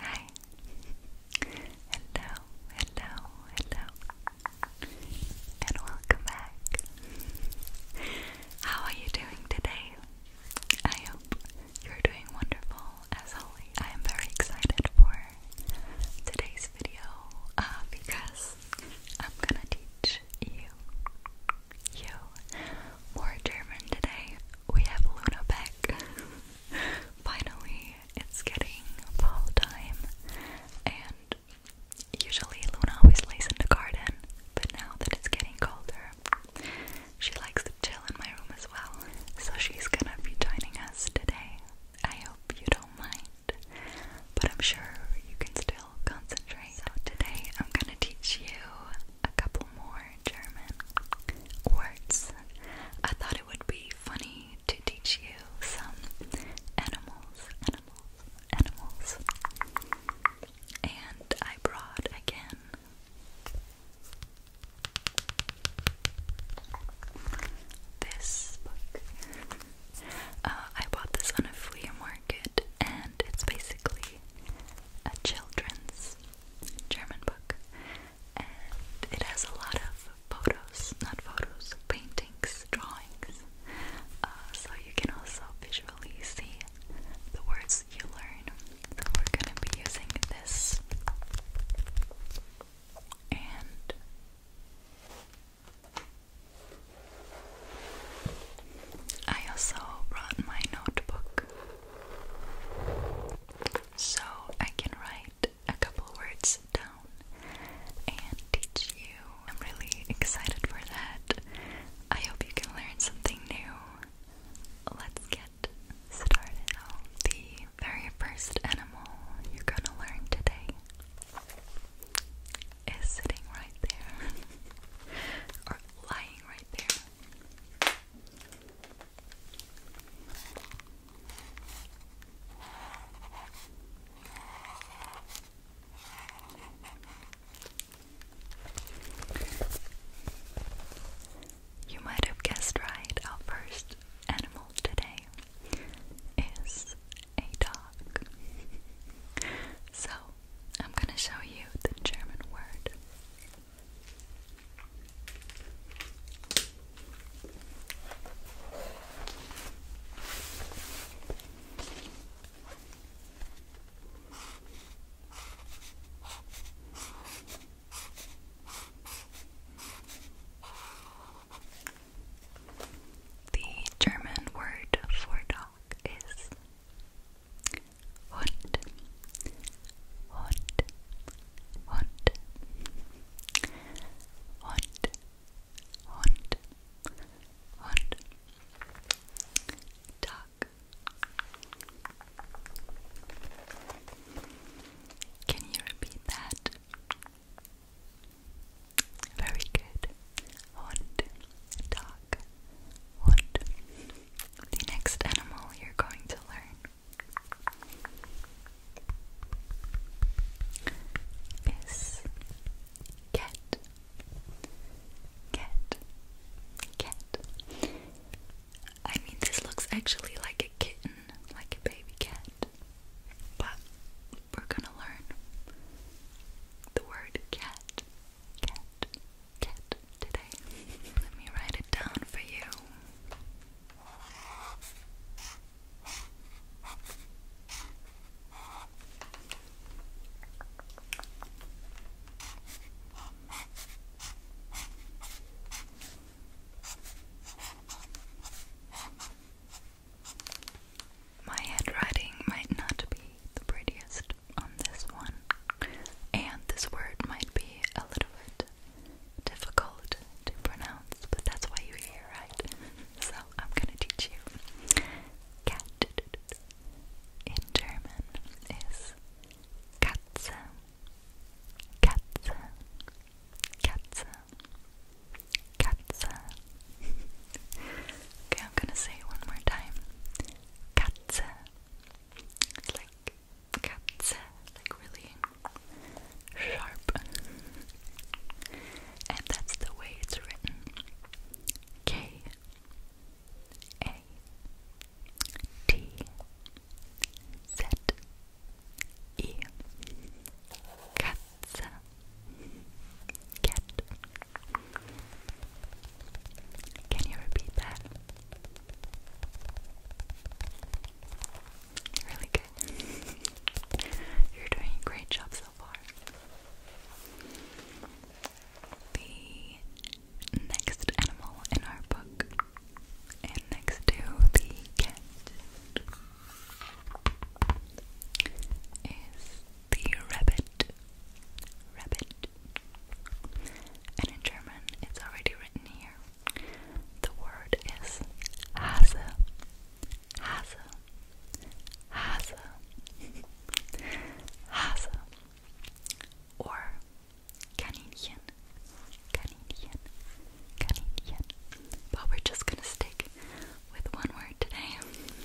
Hi. Hello, hello, hello. And welcome back. How are you doing today? I hope you're doing wonderful as always. I am very excited for today's video uh, because I'm gonna teach you you. More German today. We have Luna Beck. Finally, it's getting fall time, and usually Luna always lays in the garden, but now that it's getting colder, she likes to chill in my room as well. So she's gonna be joining us today. I hope you don't mind, but I'm sure you can still concentrate. today I'm gonna teach you a couple more German words. I thought it would be funny to teach you some animals, animals, animals. And I brought again this book. Uh, I bought this on a flea market and it's basically a children's German book, and it has a lot of photos, not photos, paintings, drawings, uh, so you can also visually see the words you learn. we're gonna be using this and. I also brought my notebook so I can write a couple words down and teach you. I'm really excited for that. I hope you can learn something new. Let's get started. the very first animal you're gonna learn today is sitting right there or lying right there. You might have guessed right, our first animal today is a dog. so I'm going to show you the German word. The German word for dog is Hund, Hund, Hund, Hund, Hund, Hund, Duck. Can you repeat that? Very good. Hund, dog. What? The next animal you're going to learn is cat. Cat. Cat. I mean, this looks actually like a kitten, like a baby cat. But we're gonna learn the word cat. Cat get today. Let me write it down for you. My handwriting might not be the prettiest on this one. And this word might be a little bit difficult to pronounce, but that's why you're here, right? So I'm gonna teach you. Cat in German is Katze. Katze. Katze. Katze. okay, I'm gonna say one more time. Katze. It's like cuts, like really sharp. And that's the way it's written. K A T Z E Katze Cat can you repeat that? Really good. You're doing a great job so far. The next animal in our book, next to the cat, is the rabbit. Rabbit. And in German, it's already written here. The word is Hase. Hase. Hase. Hase. Or Kaninchen. Kaninchen. Kaninchen. But we're just gonna stick with one word today.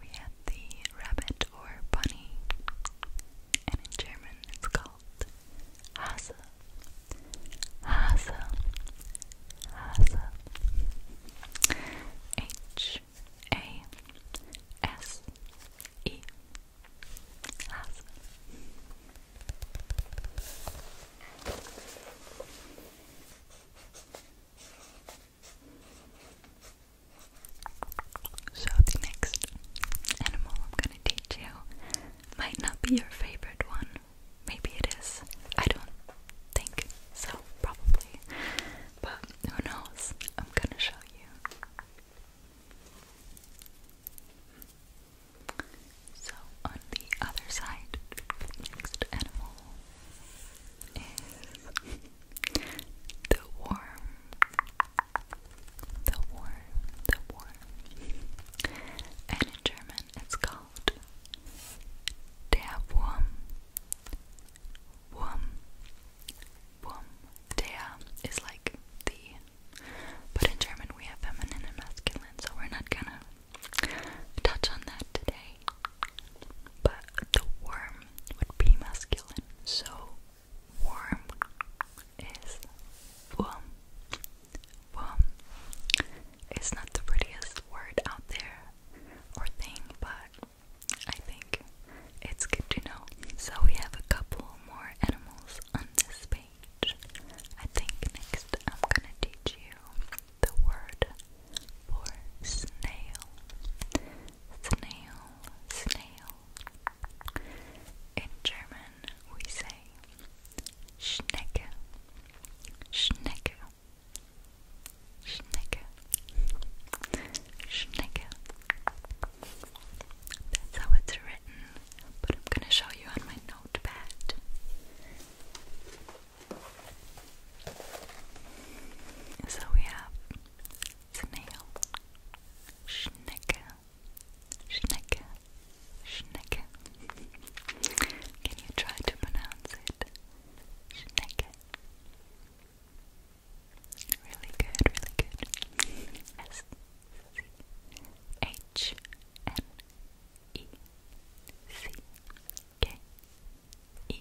We have the rabbit or bunny, and in German it's called Hase. Hase, Hase, H A S E, Hase. So, the next animal I'm going to teach you might not be your favorite one, Maybe it is. I don't think so, probably. But who knows? I'm gonna show you. So, on the other side, next animal is the worm. The worm, the worm. And in German, it's called. Der Wurm. Wurm. Wurm. Der is like the. But in German we have feminine and masculine, so we're not gonna touch on that today. But the worm would be masculine, so worm is wurm. Wurm. It's not the prettiest word out there or thing, but I think it's good to know. So we have a couple more animals on this page. I think next I'm gonna teach you the word for snail. Snail, snail. In German, we say Schnecke, Schnecke, Schnecke, Schnecke. That's how it's written, but I'm going to show you on my notepad. So we have snail, Schnecke, Schnecke, Schnecke. Can you try to pronounce it? Schnecke. Really good, really good. S C H N E C K E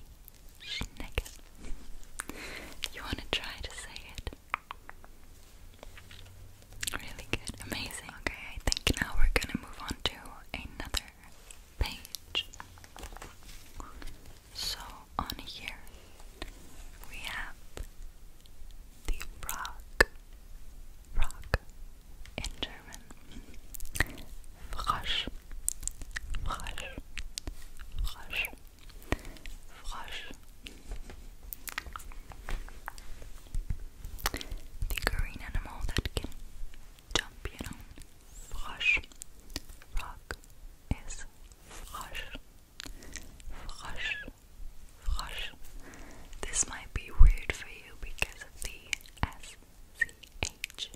Schnecke. You want to try to say it? Really good, amazing. Okay, I think now we're gonna move on to another page. So, on here we have the rock, rock in German. Frosch, frosch, frosch, frosch the green animal that can jump, you know. Frog is frosch. Frosch. Frosch. This might be weird for you because of the S-C-H.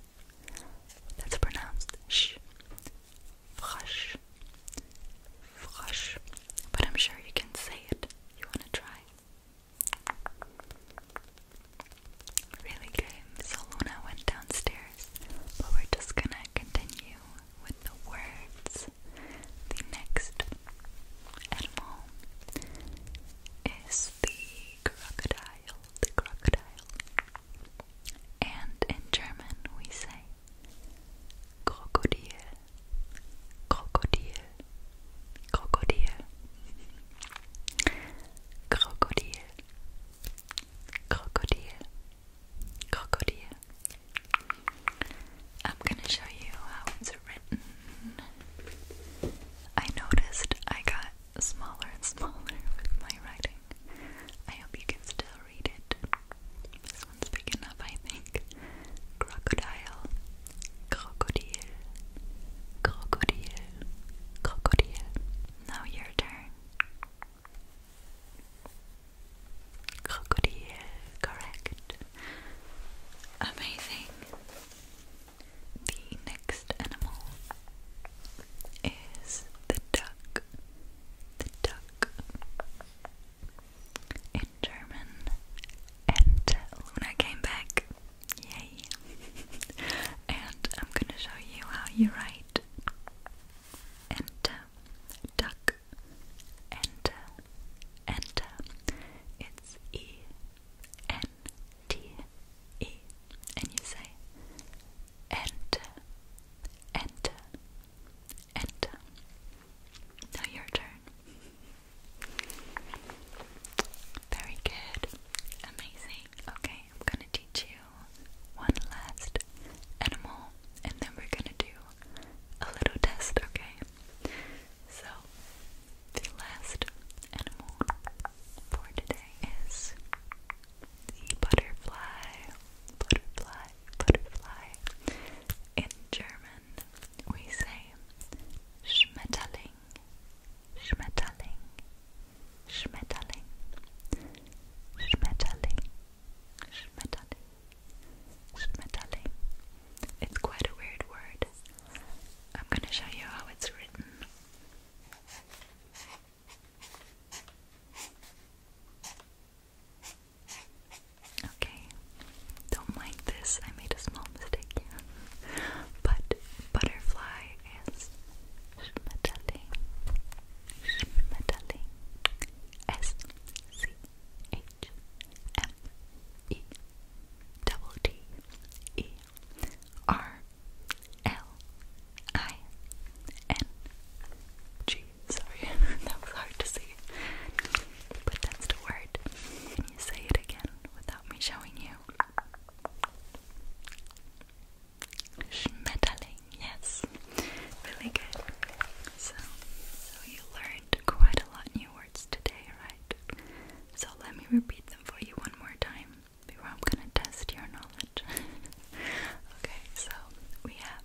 That's pronounced sh. Frosch. Frosch. But I'm sure you can say it. You want to try? Really good. So Luna went downstairs, but we're just gonna continue with the words. The next animal is the crocodile. The crocodile. And in German we say Krokodil crocodile, crocodile, crocodile, crocodile, crocodile. I'm gonna show you how it's written. I noticed I got smaller and smaller with my writing. I hope you can still read it. This one's big enough, I think crocodile, crocodile, crocodile, crocodile. Now your turn. Crocodile, correct. Amazing. The next animal is the duck. The duck. German, and Luna uh, came back. Yay! and I'm gonna show you how you write enter, uh, duck, enter, enter. Uh, it's E N T E, and you say enter, enter, enter. Now your turn. Very good. Amazing. Okay, I'm gonna teach you one last animal and then we're gonna do a little test, okay? So, the last animal for today is the butterfly. Butterfly, butterfly. In German, we say Schmetterling, Schmetterling, Schmetterling, Schmetterling, Schmetterling, Schmetterling. It's quite a weird word. I'm going to show you how it's written. Okay, don't mind this. I made a small mistake But butterfly is schmetterling. Schmetterling. S C H M E Sorry, that was hard to see, but that's the word you say it again without me showing you? Schmetterling, yes. Really good. So, so you learned quite a lot new words today, right? So let me repeat them for you one more time before I'm gonna test your knowledge. okay, so we have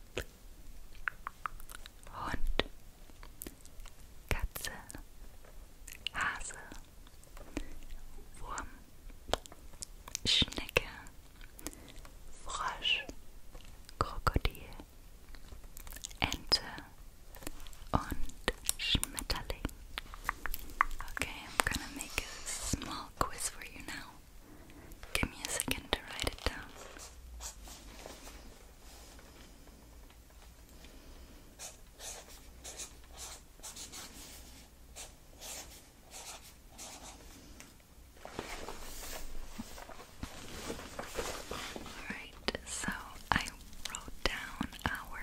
Hund Katze, Hase, Wurm, Schnecke, Frosch, Krokodil, Ente und Schmetterling. Okay, I'm gonna make a small quiz for you now. Give me a second to write it down. Alright, so I wrote down our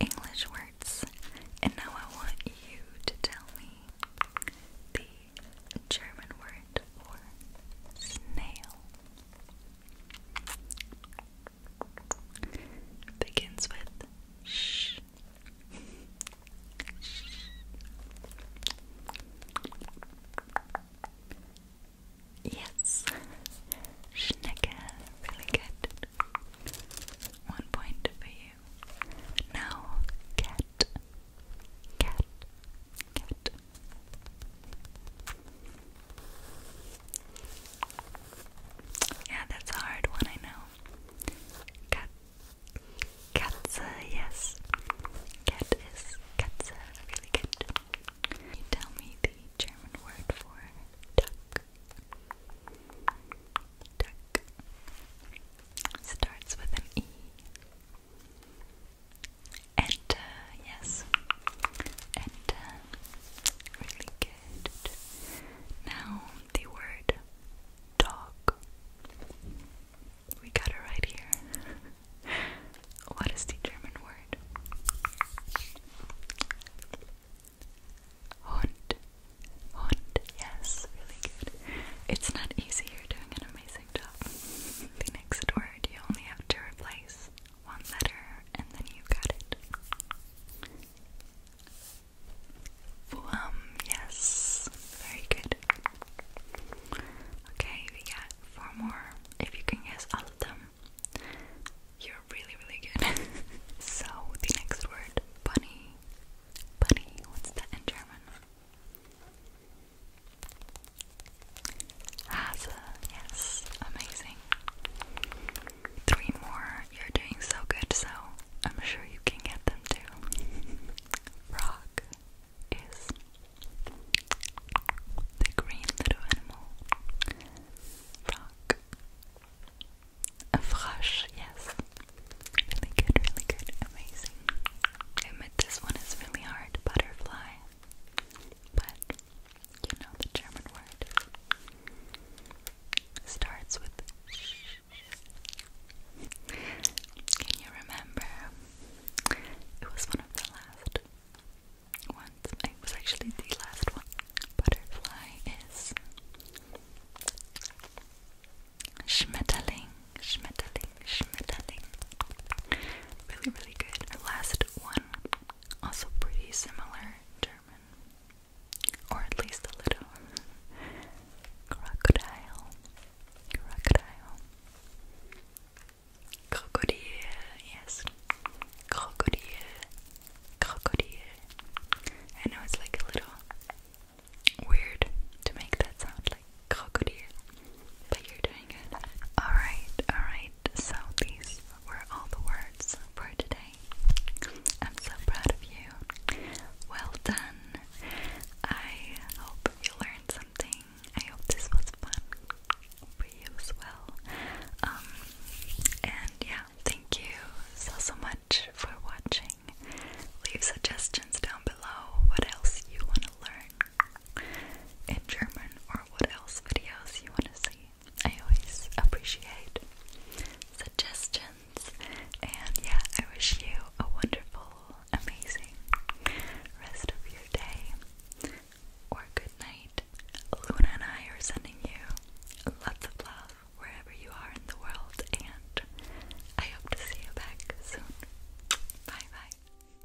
English words, and now I want you to tell me the German word word snail. Begins with sh. Yes, Schnecker, really good. One point for you. Now, cat, cat, cat. Yeah, that's a hard one, I know. Cat, Katza, uh, yes. Cat is Katza, really good. Can you tell me the German word for duck? Duck starts with an E and uh, yes, and uh, really good. Now the word dog. We got it right here. what is the German word? Hund. Hund. Yes, really good. It's not easy. You're doing an amazing the next word you only have to replace one letter and then you got it. Plum, yes. Very good. Okay, we got four more. If you can guess all of them, you're really, really good. so, the next word, bunny. Bunny, what's that in German? Haza, yes, amazing. Three more. You're doing so good, so I'm sure you can get them too. Frog is the green little animal. Frog. A yes. Really good, really good, amazing. admit this one is really hard. Butterfly but you know the German word starts with sh. Can you remember? It was one of the last ones. It was actually the last one. Butterfly is Schmetterling. Schmetterling, Schmetterling. Really, really good. Our last one, also pretty similar German, or at least a little. Crocodile, crocodile, crocodile. Yes, crocodile, crocodile. I know it's like a little weird to make that sound like crocodile. But you're doing good. Alright, alright. So these were all the words for today. I'm so proud of you. Well done. I hope you learned something. I hope this was fun for you as well. Um, and yeah, thank you so so much for watching. Leave suggestions down below what else you want to learn in German or what else videos you want to see. I always appreciate suggestions, and yeah, I wish you a wonderful, amazing rest of your day or good night. Luna and I are sending you lots of love wherever you are in the world, and I hope to see you back soon. Bye bye.